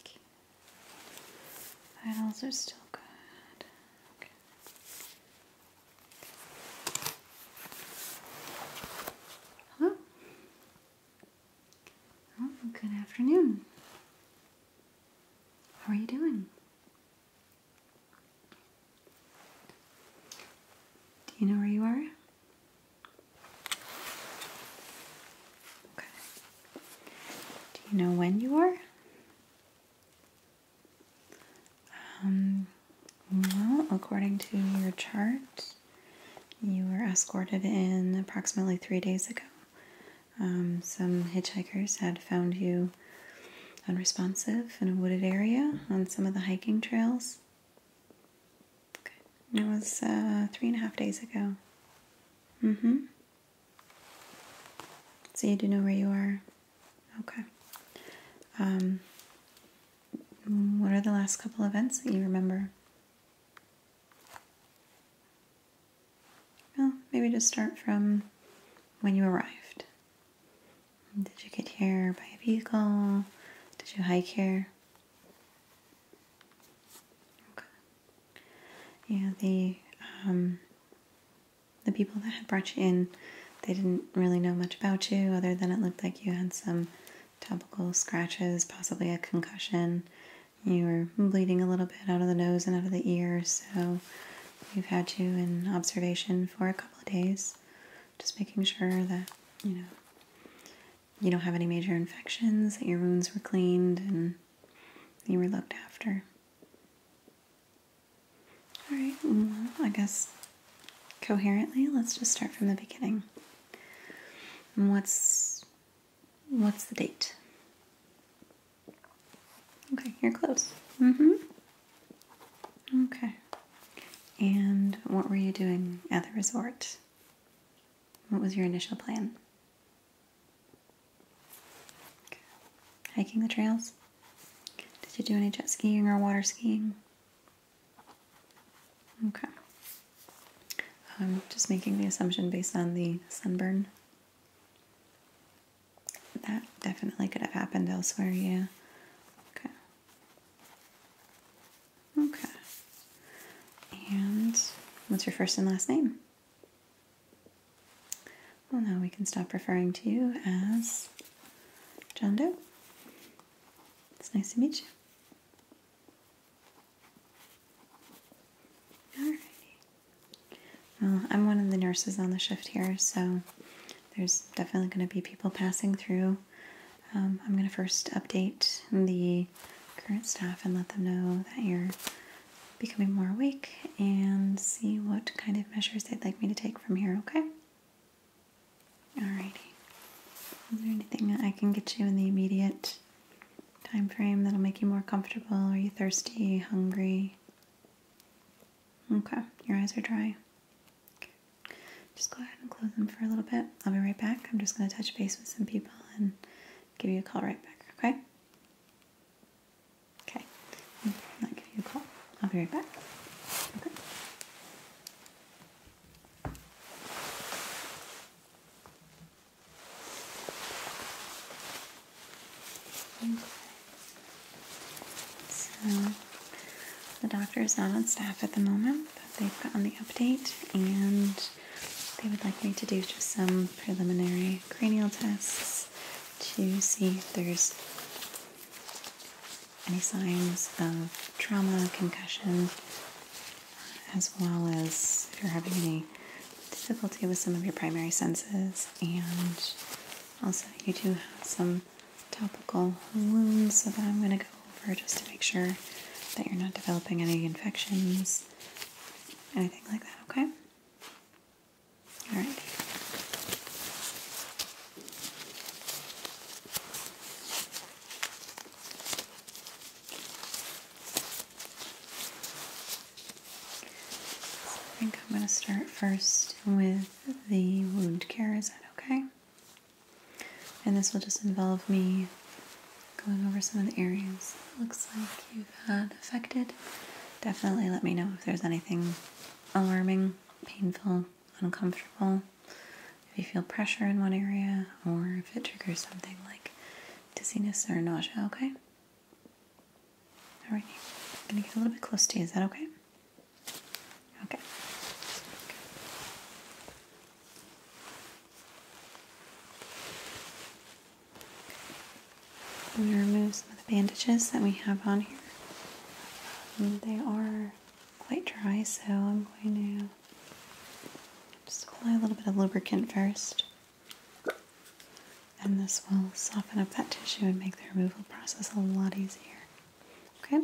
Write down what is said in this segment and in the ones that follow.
Okay. are still good. Hello. Oh, good afternoon. How are you doing? Do you know where you are? Okay. Do you know when you are? Um, well, according to your chart, you were escorted in approximately three days ago. Um, some hitchhikers had found you unresponsive in a wooded area on some of the hiking trails. Good. It was uh, three and a half days ago. Mm hmm. So you do know where you are? Okay. Um, what are the last couple events that you remember? Well, maybe just start from when you arrived. Did you get here by a vehicle? Did you hike here? Yeah, the um, the people that had brought you in, they didn't really know much about you other than it looked like you had some topical scratches, possibly a concussion. You were bleeding a little bit out of the nose and out of the ear, so we've had you in observation for a couple of days just making sure that, you know, you don't have any major infections, that your wounds were cleaned and you were looked after. Alright, I guess coherently, let's just start from the beginning. what's what's the date? Okay, you're close. Mm-hmm. Okay. And what were you doing at the resort? What was your initial plan? Hiking the trails? Did you do any jet skiing or water skiing? Okay. I'm just making the assumption based on the sunburn. That definitely could have happened elsewhere, yeah. Okay. Okay. And what's your first and last name? Well, now we can stop referring to you as John Doe. It's nice to meet you. Alrighty. Well, I'm one of the nurses on the shift here, so there's definitely going to be people passing through. Um, I'm going to first update the current staff and let them know that you're becoming more awake and see what kind of measures they'd like me to take from here, okay? Alrighty. Is there anything I can get you in the immediate time frame that'll make you more comfortable? Are you thirsty, hungry? Okay, your eyes are dry. Just go ahead and close them for a little bit. I'll be right back. I'm just going to touch base with some people and give you a call right back, okay? Okay. I'll give you a call. I'll be right back. Okay. So the doctor is not on staff at the moment, but they've gotten the update and they would like me to do just some preliminary cranial tests to see if there's any signs of trauma, concussion, as well as if you're having any difficulty with some of your primary senses. And also, you do have some some topical wounds that I'm going to go over just to make sure that you're not developing any infections, anything like that, okay? Alright. I think I'm going to start first with the wound care. Is that okay? And this will just involve me going over some of the areas it looks like you've had affected. Definitely let me know if there's anything alarming, painful, uncomfortable, if you feel pressure in one area, or if it triggers something like dizziness or nausea, okay? Alright, I'm gonna get a little bit close to you, is that okay? Okay. okay. I'm going to remove some of the bandages that we have on here. Um, they are quite dry, so I'm going to just apply a little bit of lubricant first. And this will soften up that tissue and make the removal process a lot easier. Okay.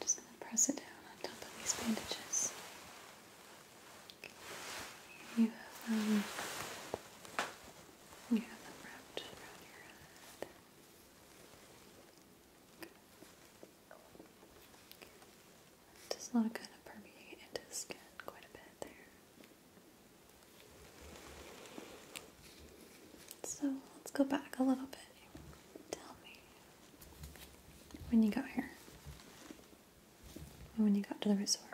Just gonna press it down on top of these bandages. You have um you have them wrapped around your head. Just not kind of permeate into the skin quite a bit there. So let's go back a little bit. Tell me when you got here and when you got to the resort.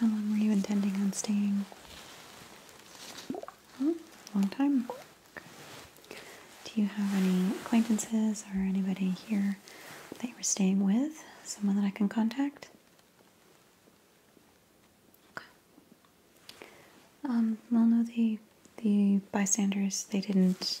How long were you intending on staying? Oh, long time. Do you have any acquaintances or anybody here that you were staying with? Someone that I can contact? Okay. Um, well, no, the the bystanders they didn't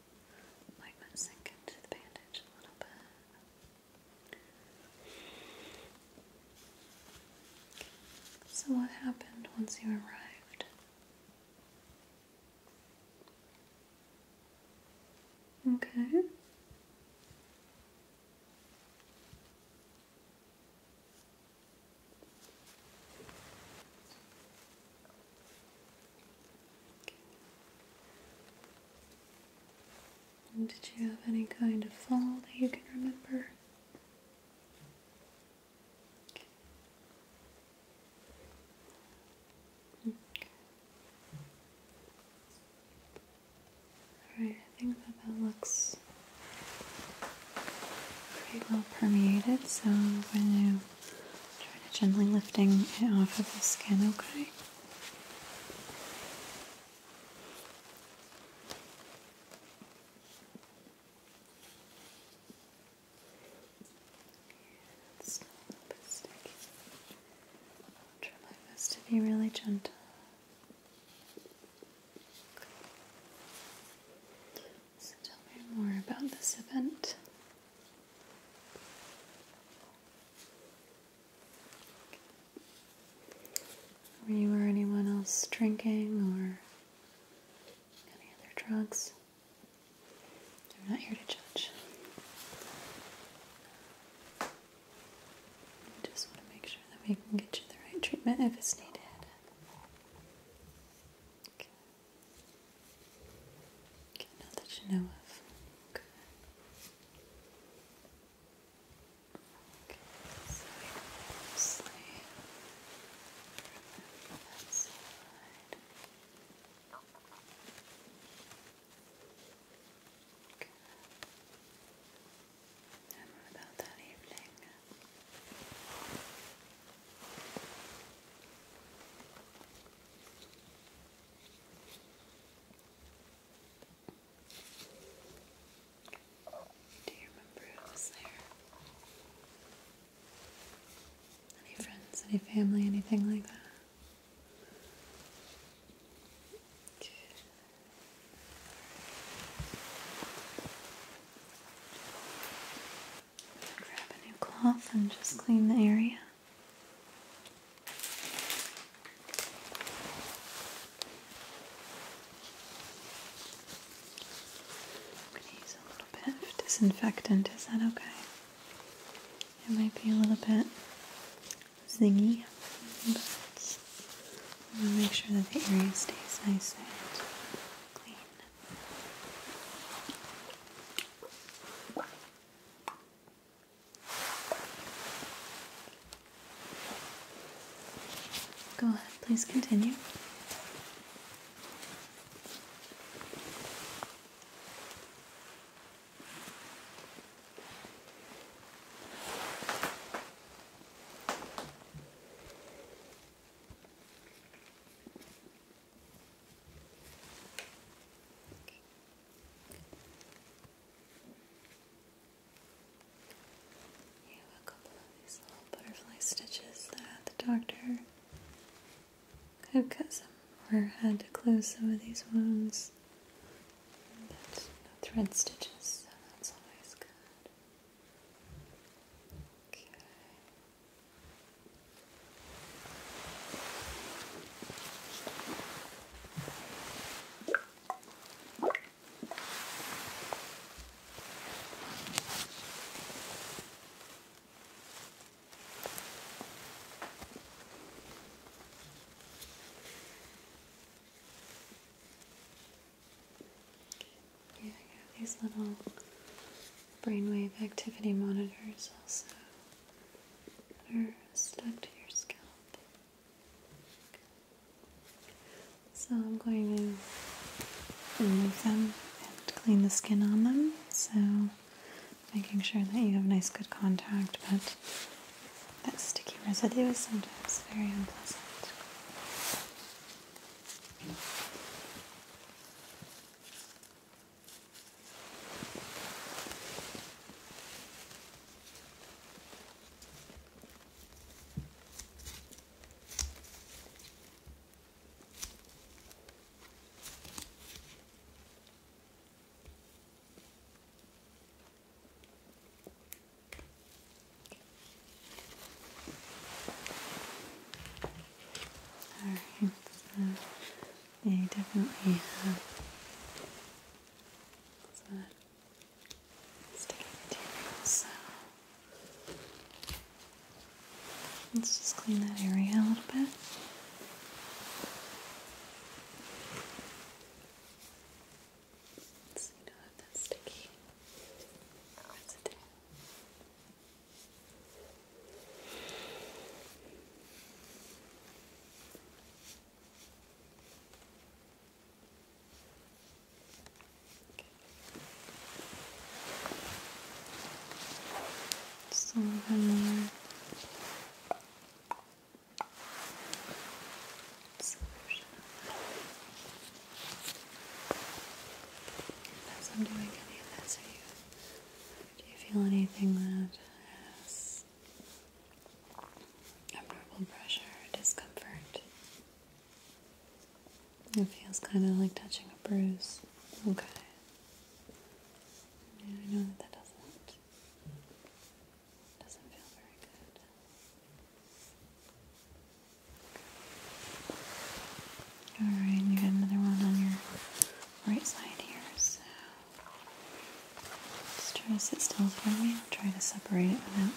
like that sink into the bandage a little bit. So, what happened once you arrived? Okay did you have any kind of fall that you can remember? Okay. Alright, I think that that looks pretty well permeated, so I'm try to gently lifting it off of the skin, okay? It's a bit sticky. try my best to be really gentle. So tell me more about this event. Were you or anyone else drinking or any other drugs? we am not here to judge. I just want to make sure that we can get you the right treatment if it's needed. Okay. Okay, not that you know of. Okay. Okay, so closely remove that side. Okay. And without that evening. Do you remember who was there? Any friends, any family, anything like that? Good. Grab a new cloth and just clean the area. I'm gonna use a little bit of disinfectant. Is that okay? It might be a little bit zingy, i want to make sure that the area stays nice and clean. Go ahead, please continue. You have a couple of these little butterfly stitches that the doctor could cut some or had to close some of these wounds. That's no thread stitches, so that's always good. Okay. Yeah, I got these little brainwave activity monitors also stuck to your scalp. So I'm going to remove them and clean the skin on them. So making sure that you have nice good contact, but that sticky residue is sometimes very unpleasant. Alright, so definitely sticky material. So let's just clean that area a little bit. So you don't have that sticky oh, residue. Just a little bit As I'm doing any of this, do you feel anything that has Abnormal pressure, discomfort. It feels kind of like touching a bruise. Okay. Yeah, I know that that doesn't doesn't feel very good. All right, you got another one on your right side here. So just try to sit still for me. I'll try to separate it without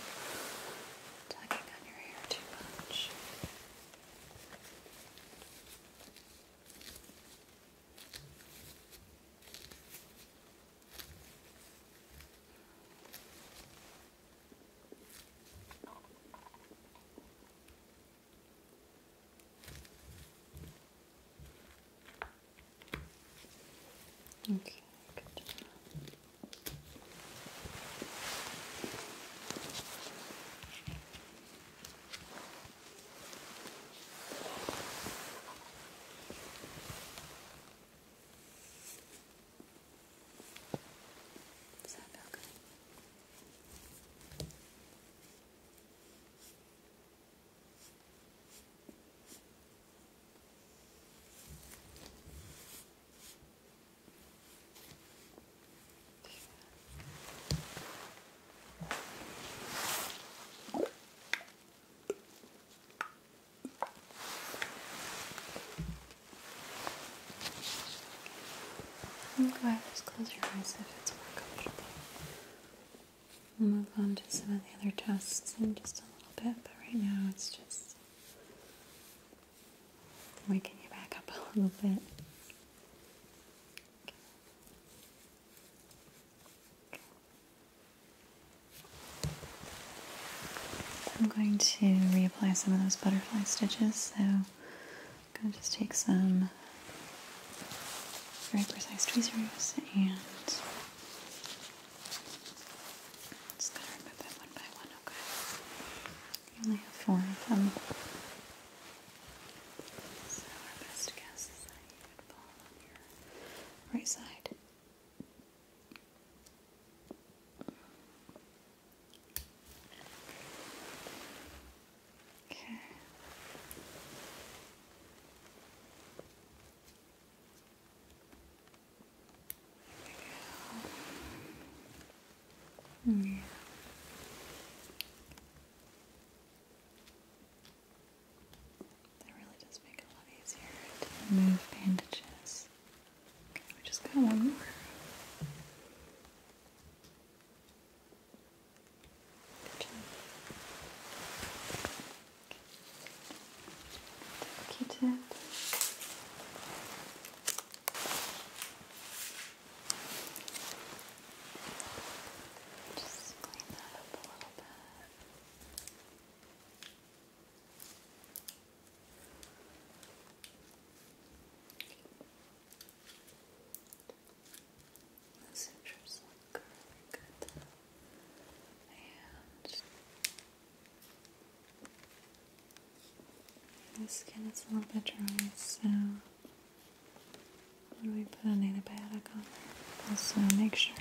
tugging on your hair too much. Okay, good. Does that feel good? You can just close your eyes if it's more comfortable move on to some of the other tests in just a little bit, but right now it's just waking you back up a little bit. I'm going to reapply some of those butterfly stitches, so I'm going to just take some very precise tweezers and just gotta remove it one by one, okay? You only have four of them. So our best guess is that you would fall on your right side. Okay. Yeah. Hmm. That really does make it a lot easier to remove bandages. we just got one more. Okay. Just clean that up a little bit. This interesting curve, good and skin is a little bit dry, so when we put an antibiotic on also uh, make sure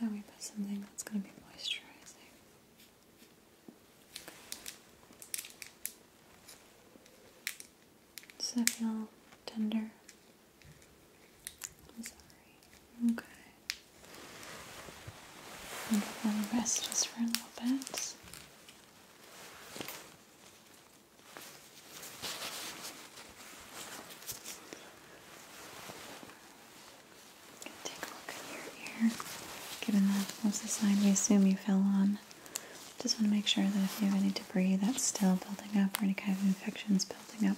that we put something that's going to be moisturizing. Does that feel tender? I'm sorry. Okay. I'm gonna rest just for a little bit. I'm take a look at your ear. Given that was the side we assume you fell on, just want to make sure that if you have any debris that's still building up or any kind of infections building up,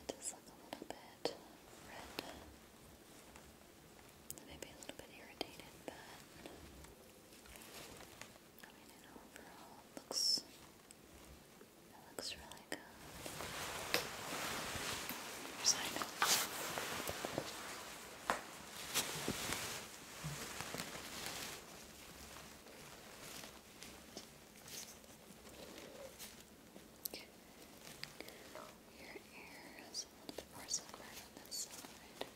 It does look a little bit red. Maybe a little bit irritated, but I mean, it overall looks looks really good. Here's I your ear is a little bit more sunburned on this side.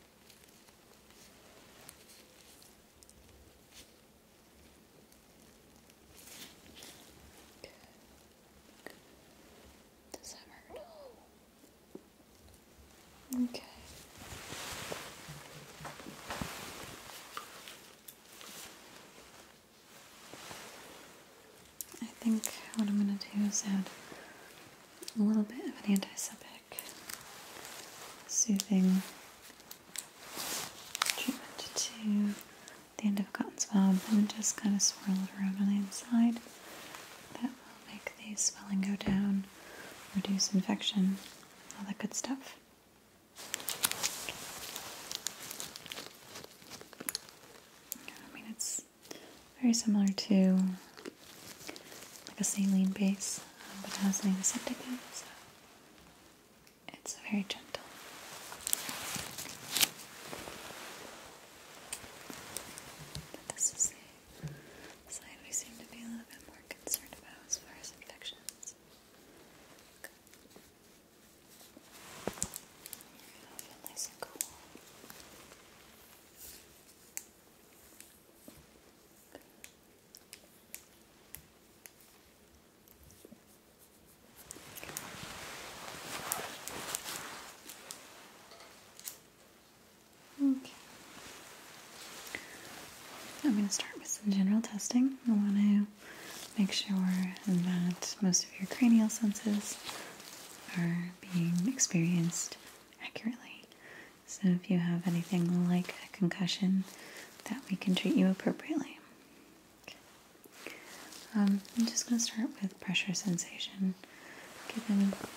Does that hurt? Okay. I think what I'm going to do is add a little bit of an antiseptic soothing treatment to the end of cotton swab and just kind of swirl it around on the inside. That will make the swelling go down, reduce infection, all that good stuff. I mean, it's very similar to like a saline base, um, but it has an antiseptic in so it's very gentle. But this is the we seem to be a little bit more concerned about as far as infections. Okay. I'm going to start with some general testing. I want to make sure that most of your cranial senses are being experienced accurately. So, if you have anything like a concussion, that we can treat you appropriately. Um, I'm just going to start with pressure sensation, given that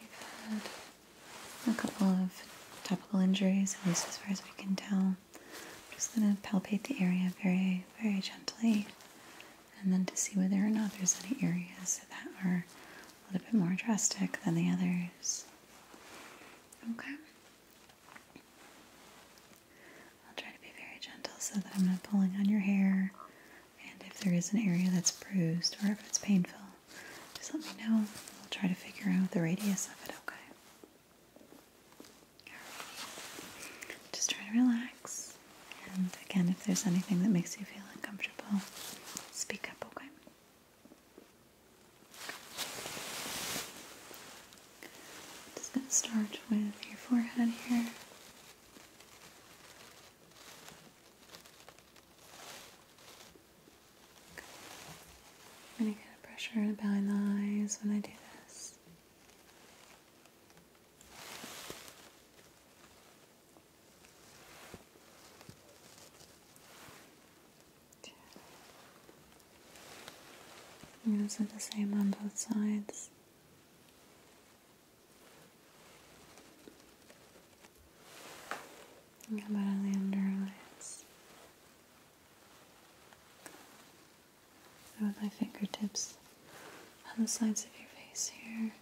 you've had a couple of topical injuries, at least as far as we can tell. I'm just going to palpate the area very, very gently and then to see whether or not there's any areas that are a little bit more drastic than the others. Okay. I'll try to be very gentle so that I'm not pulling on your hair. And if there is an area that's bruised or if it's painful, just let me know. We'll try to figure out the radius of it, okay? Just try to relax. And again, if there's anything that makes you feel uncomfortable, speak up, okay? Just gonna start with your forehead here. I'm going pressure behind the eyes when I do this. And those are the same on both sides. how about the under with my fingertips on the sides of your face here.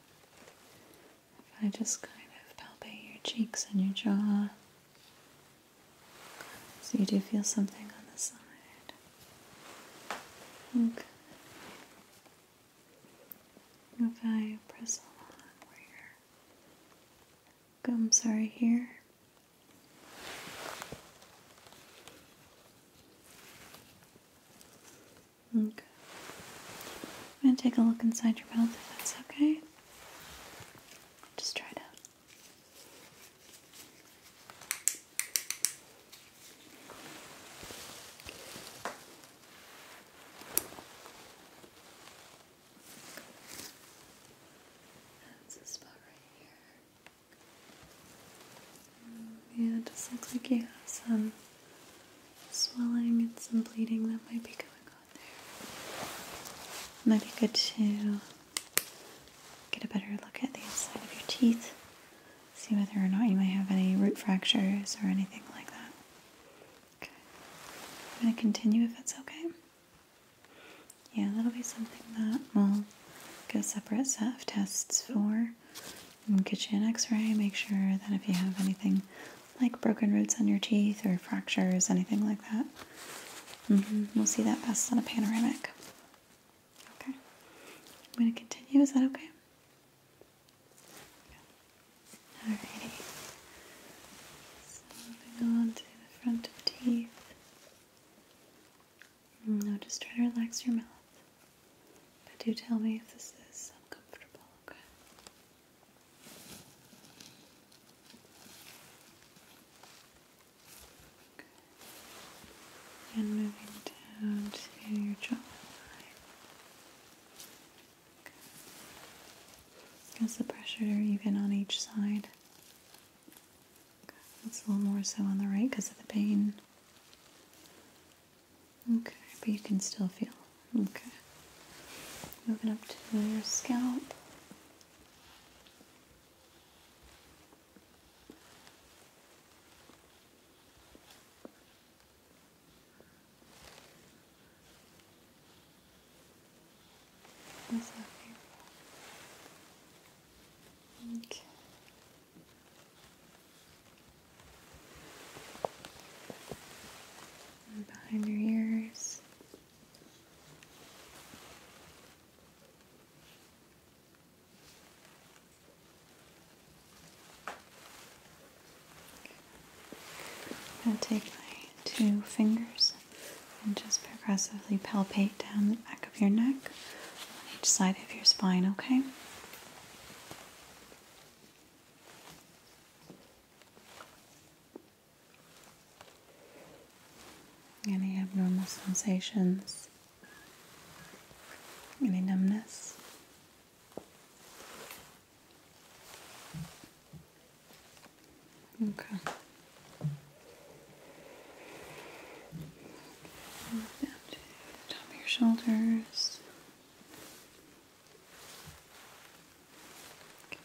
If I just kind of palpate your cheeks and your jaw, so you do feel something on the side. Okay. If I press along where your gums are here, Okay. I'm going to take a look inside your mouth if that's okay. Just try it out. That's the spot right here. Yeah, it just looks like you have some swelling and some bleeding that might be going on there. Might be good to get a better look at the inside of your teeth, see whether or not you might have any root fractures or anything like that. Okay. I'm going to continue if that's okay yeah, that'll be something that we'll get a separate set of tests for. We'll get you an x-ray, make sure that if you have anything like broken roots on your teeth or fractures, anything like that, mm-hmm, we'll see that best on a panoramic. Okay, I'm going to continue. Is that okay? Alrighty. So to the front of teeth. Mm, now just try to relax your mouth. But do tell me if this is uncomfortable, okay? And moving down to your jawline. Okay. As the pressure even on each side that's a little more so on the right because of the pain. Okay, but you can still feel. Okay. Moving up to your scalp. That's not Okay behind your ears. I'm going to take my two fingers and just progressively palpate down the back of your neck, on each side of your spine, okay? Any abnormal sensations? Any numbness? Okay top of your shoulders. Okay.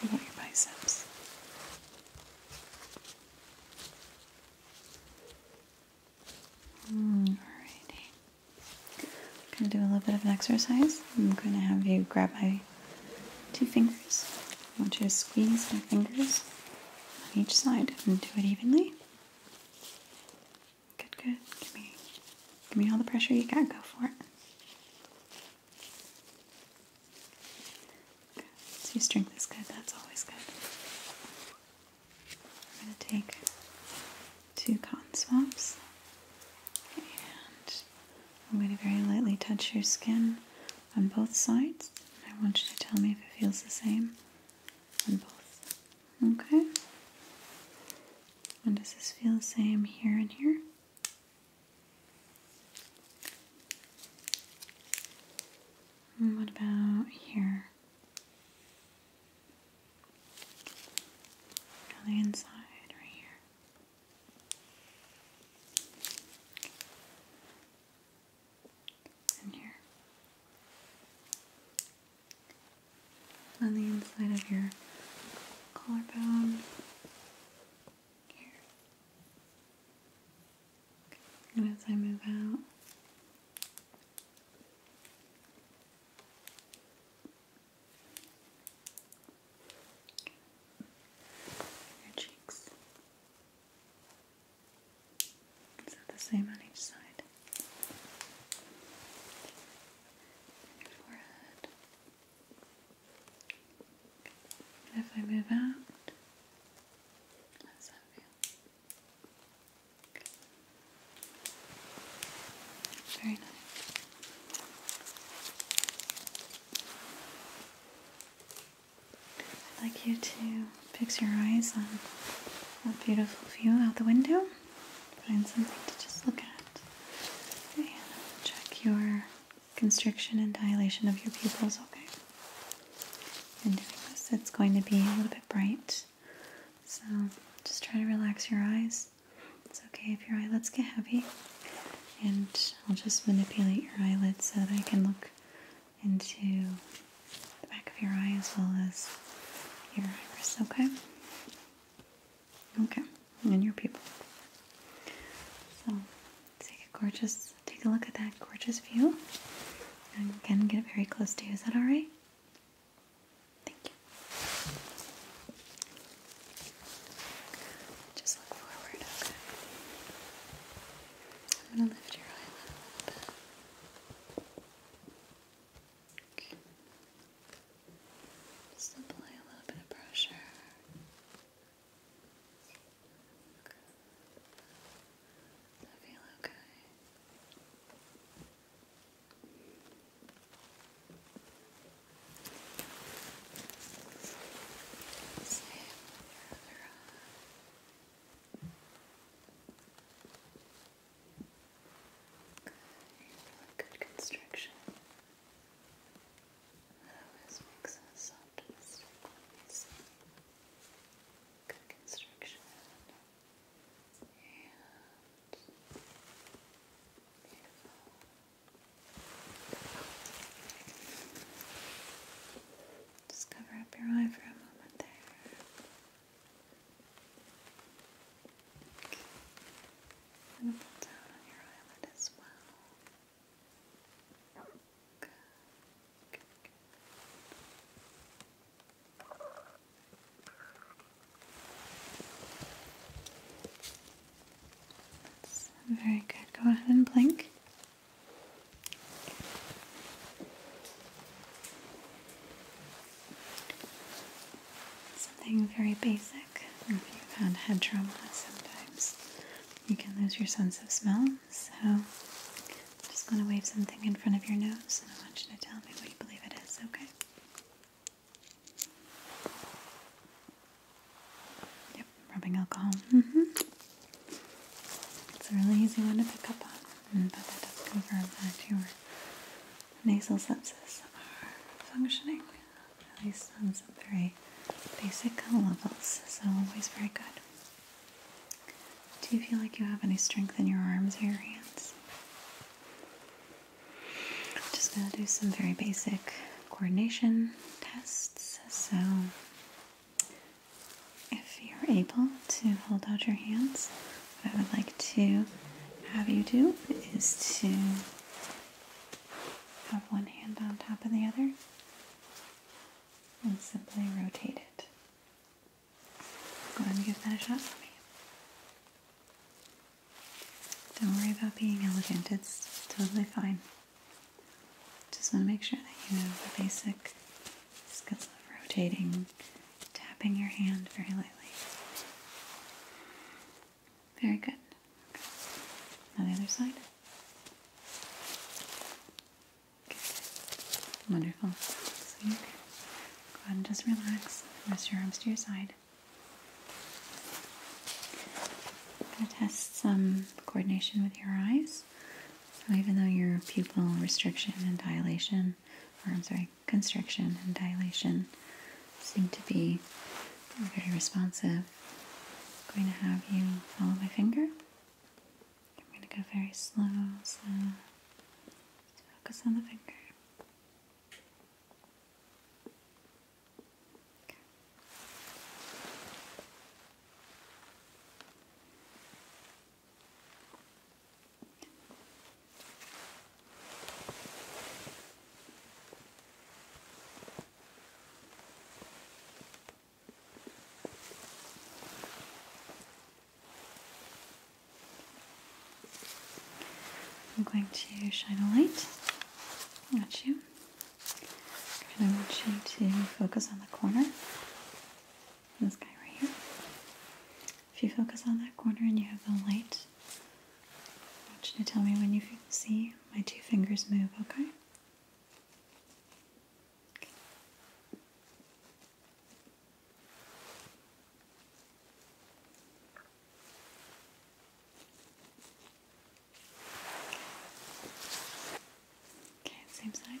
What about your biceps? Mm, alrighty. I'm going to do a little bit of an exercise. I'm going to have you grab my two fingers. I want you to squeeze my fingers on each side and do it evenly. Good, good. Give me, give me all the pressure you got. Go for it. So your strength is good. That's always good. I'm gonna take two cotton swabs, and I'm going to very lightly touch your skin on both sides. I want you to tell me if it feels the same on both. Okay? And does this feel the same here and here? what about here? On the inside, right here in here. On the inside of your collarbone. Here. And as I move out. Your cheeks. Is that the same on each side? forehead. if I move out, how does that feel? Very nice. I'd like you to fix your eyes on a beautiful view out the window. Find something to just look at. and check your constriction and dilation of your pupils, okay? In doing this, it's going to be a little bit bright. So just try to relax your eyes. It's okay if your eyelids get heavy. And I'll just manipulate your eyelids so that I can look into the back of your eye as well as your iris, okay? Okay, and your pupil. So take a gorgeous, take a look at that gorgeous view. And again, get very close to you. Is that all right? Thank you. Just look forward, okay? I'm going to lift your eyelid a little bit. Just apply a little bit of pressure. Does that okay? Same with your other eye. Really good construction. always makes us optimistic when good construction beautiful. Just cover up your eye for a moment there. pull down on your eyelid as well. Good. very good. Go ahead and blink. Something very basic. If you've had head trauma, sometimes you can lose your sense of smell. So I'm just going to wave something in front of your nose and I want you to tell me what you believe it is, okay? rubbing alcohol. Mm-hmm. It's a really easy one to pick up on, mm, but that does confirm that your nasal sepsis are functioning, at least on some very basic levels, so always very good. Do you feel like you have any strength in your arms or your hands? I'm just going to do some very basic coordination tests, so if you're able to hold out your hands, what I would like to have you do is to have one hand on top of the other and simply rotate it. Go ahead and give that a shot for me. Don't worry about being elegant, it's totally fine. Just want to make sure that you know the basic skills of rotating, tapping your hand very lightly. Very good. On the other side. Wonderful. So you can go ahead and just relax. Rest your arms to your side. I'm going to test some coordination with your eyes. So even though your pupil restriction and dilation, or I'm sorry, constriction and dilation seem to be very responsive, I'm going to have you follow my finger. I'm going to go very slow, so focus on the finger. I'm going to shine a light at you. And I want you to focus on the corner this guy right here. If you focus on that corner and you have the light, I want you to tell me when you see my two fingers move, okay? okay. same side.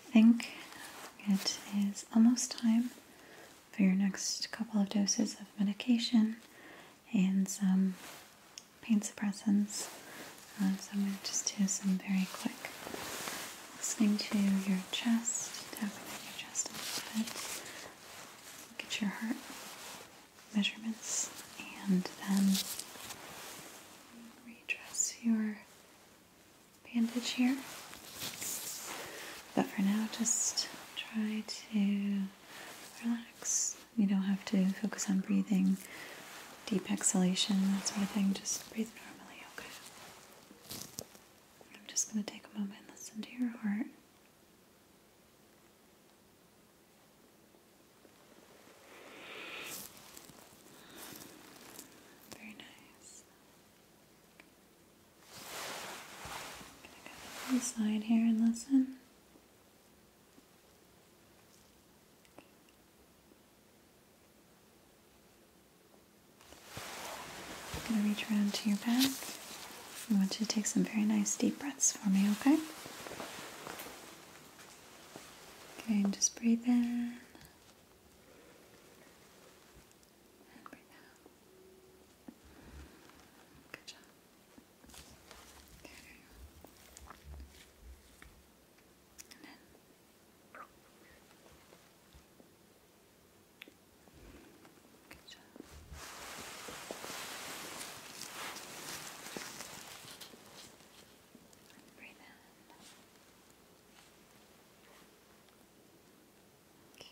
I think it is almost time for your next couple of doses of medication and some pain suppressants. Uh, so I'm going to just do some very quick listening to your chest, tapping your chest a little bit. Look at your heart measurements and then redress your bandage here. But for now, just try to relax. You don't have to focus on breathing, deep exhalation, that sort of thing. Just breathe normally, okay? I'm just going to take a moment and listen to your heart. Very nice. I'm going to go to the side here and listen. I'm going to reach around to your back. I want you to take some very nice deep breaths for me, okay? Okay, and just breathe in and breathe out. Good job. Okay. And then Good job. And breathe in. Okay.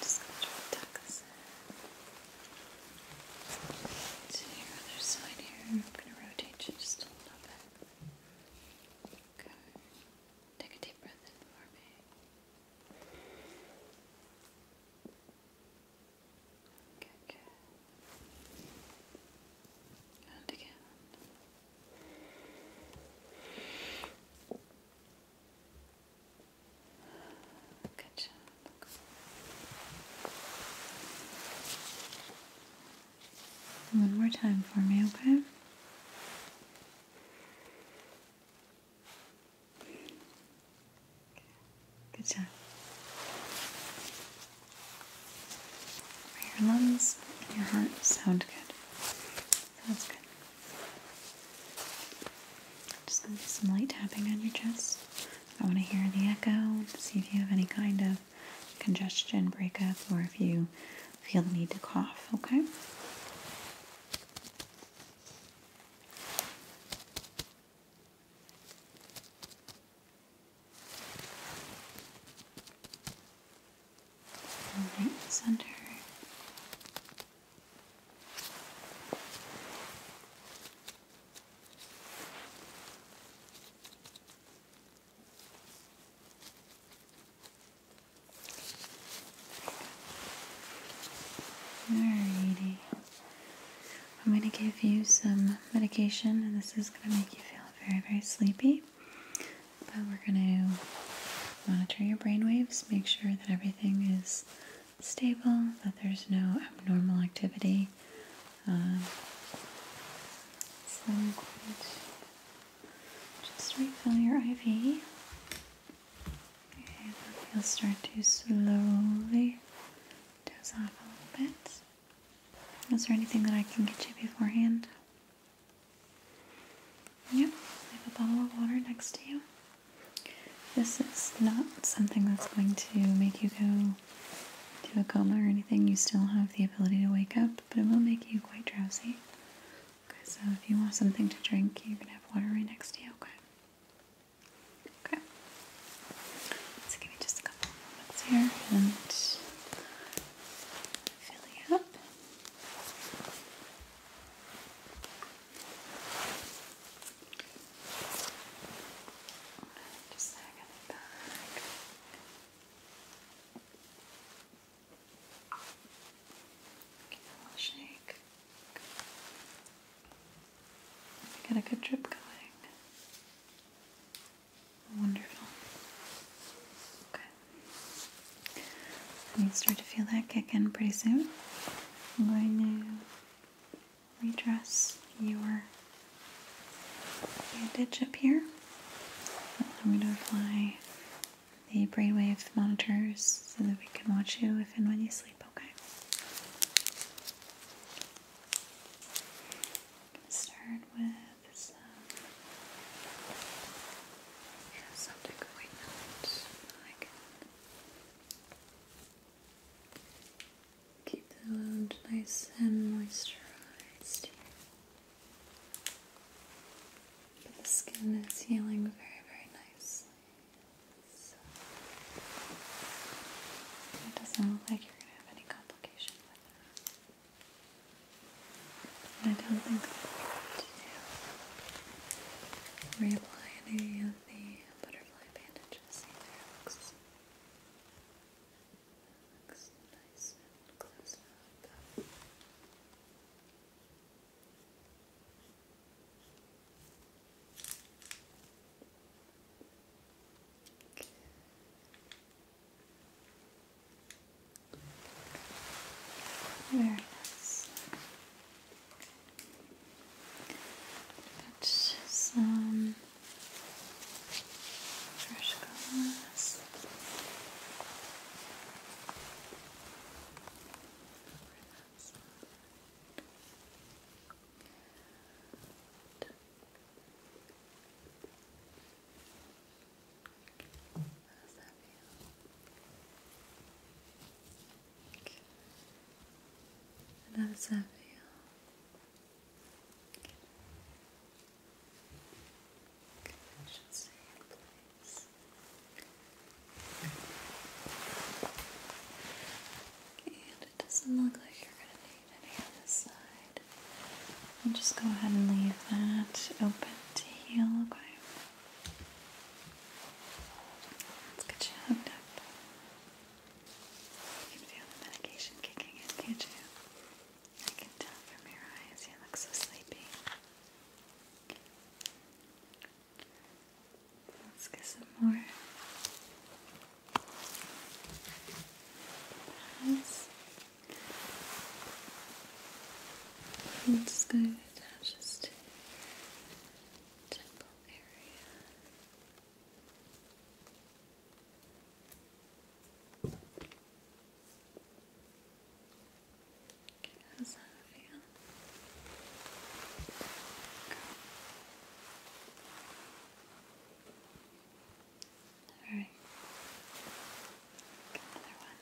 Just going to tuck this in to your other side here. I'm gonna rotate you just a little bit. Okay. Take a deep breath in for me. And again. Good job. One more time for me, okay? Good job. Your lungs and your heart sound good. that's good. Just gonna do some light tapping on your chest. I want to hear the echo, see if you have any kind of congestion break up, or if you feel the need to cough, okay? All right in the center. Alrighty. I'm going to give you some medication, and this is going to make you feel very, very sleepy. But we're going to monitor your brain waves, make sure that everything is stable, that there's no abnormal activity. Um, so, just refill your IV. Okay, now you'll start to slowly doze off a little bit. Is there anything that I can get you beforehand? Yep, I have a bottle of water next to you. This is not something that's going to make you go to a coma or anything. You still have the ability to wake up, but it will make you quite drowsy. Okay, so if you want something to drink, you can have water right next to you, okay? Okay. So give me just a couple of moments here and filling up. Just hang on back. Give it a little shake. Got a good drip going. Wonderful. Okay. And you start to feel that kick in pretty soon. I'm going to redress your bandage up here. Allow me to apply the brainwave monitors so that we can watch you if and when you sleep, okay? Start with some something going on so keep the load nice and moisturized. the skin is healing very, very nicely. So it doesn't look like you're gonna have any complication with I don't think we need to reapply any of the butterfly bandages either. It looks, nice and closed up. Very nice. Got some fresh colors. Good. How does that feel? Okay. how does that feel? Okay and it doesn't look like you're going to need any on this side. I'll just go ahead and leave that open to heal, okay? Let's get you hooked up. You feel the medication kicking in, can't you? I can tell from your eyes, you look so sleepy. Let's get some more. I'm just going to attach this to temple area. Okay, how's that feel? Okay. Alright. Another one.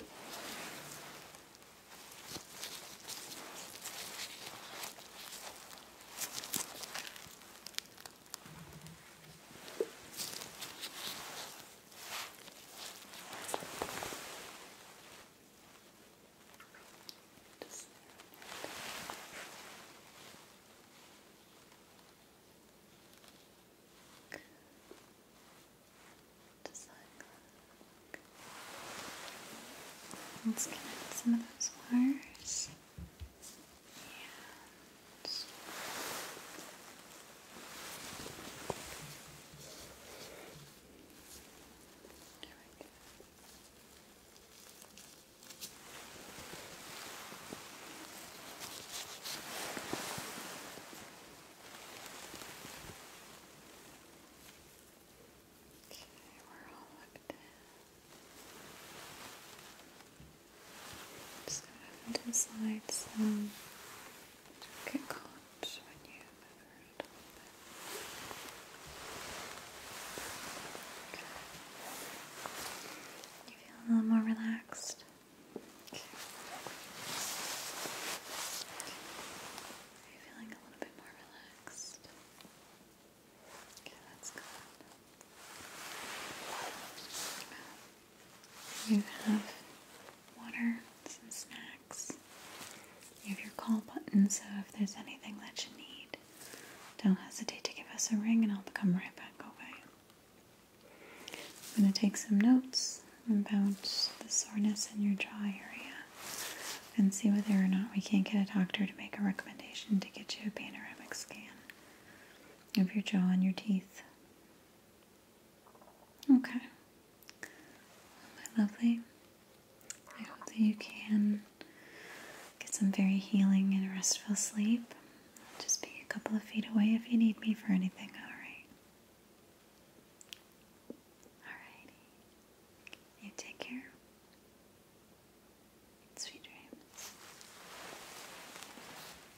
Okay. Just like that. Let's connect some of those wires. Yeah. There we Okay, we're all looked in. Just going to slide some don't when you move You feel a little more relaxed. Are you feeling a little bit more relaxed? Okay, that's good. You have water, some snacks. You have your call button, so if there's anything that you need, don't hesitate to give us a ring and I'll come right back over. I'm going to take some notes about the soreness in your jaw area and see whether or not we can't get a doctor to make a recommendation to get you a panoramic scan of your jaw and your teeth. Okay. lovely. I hope that you can get some very healing and restful sleep. just be a couple of feet away if you need me for anything, alright? Alrighty. You take care. Sweet dreams.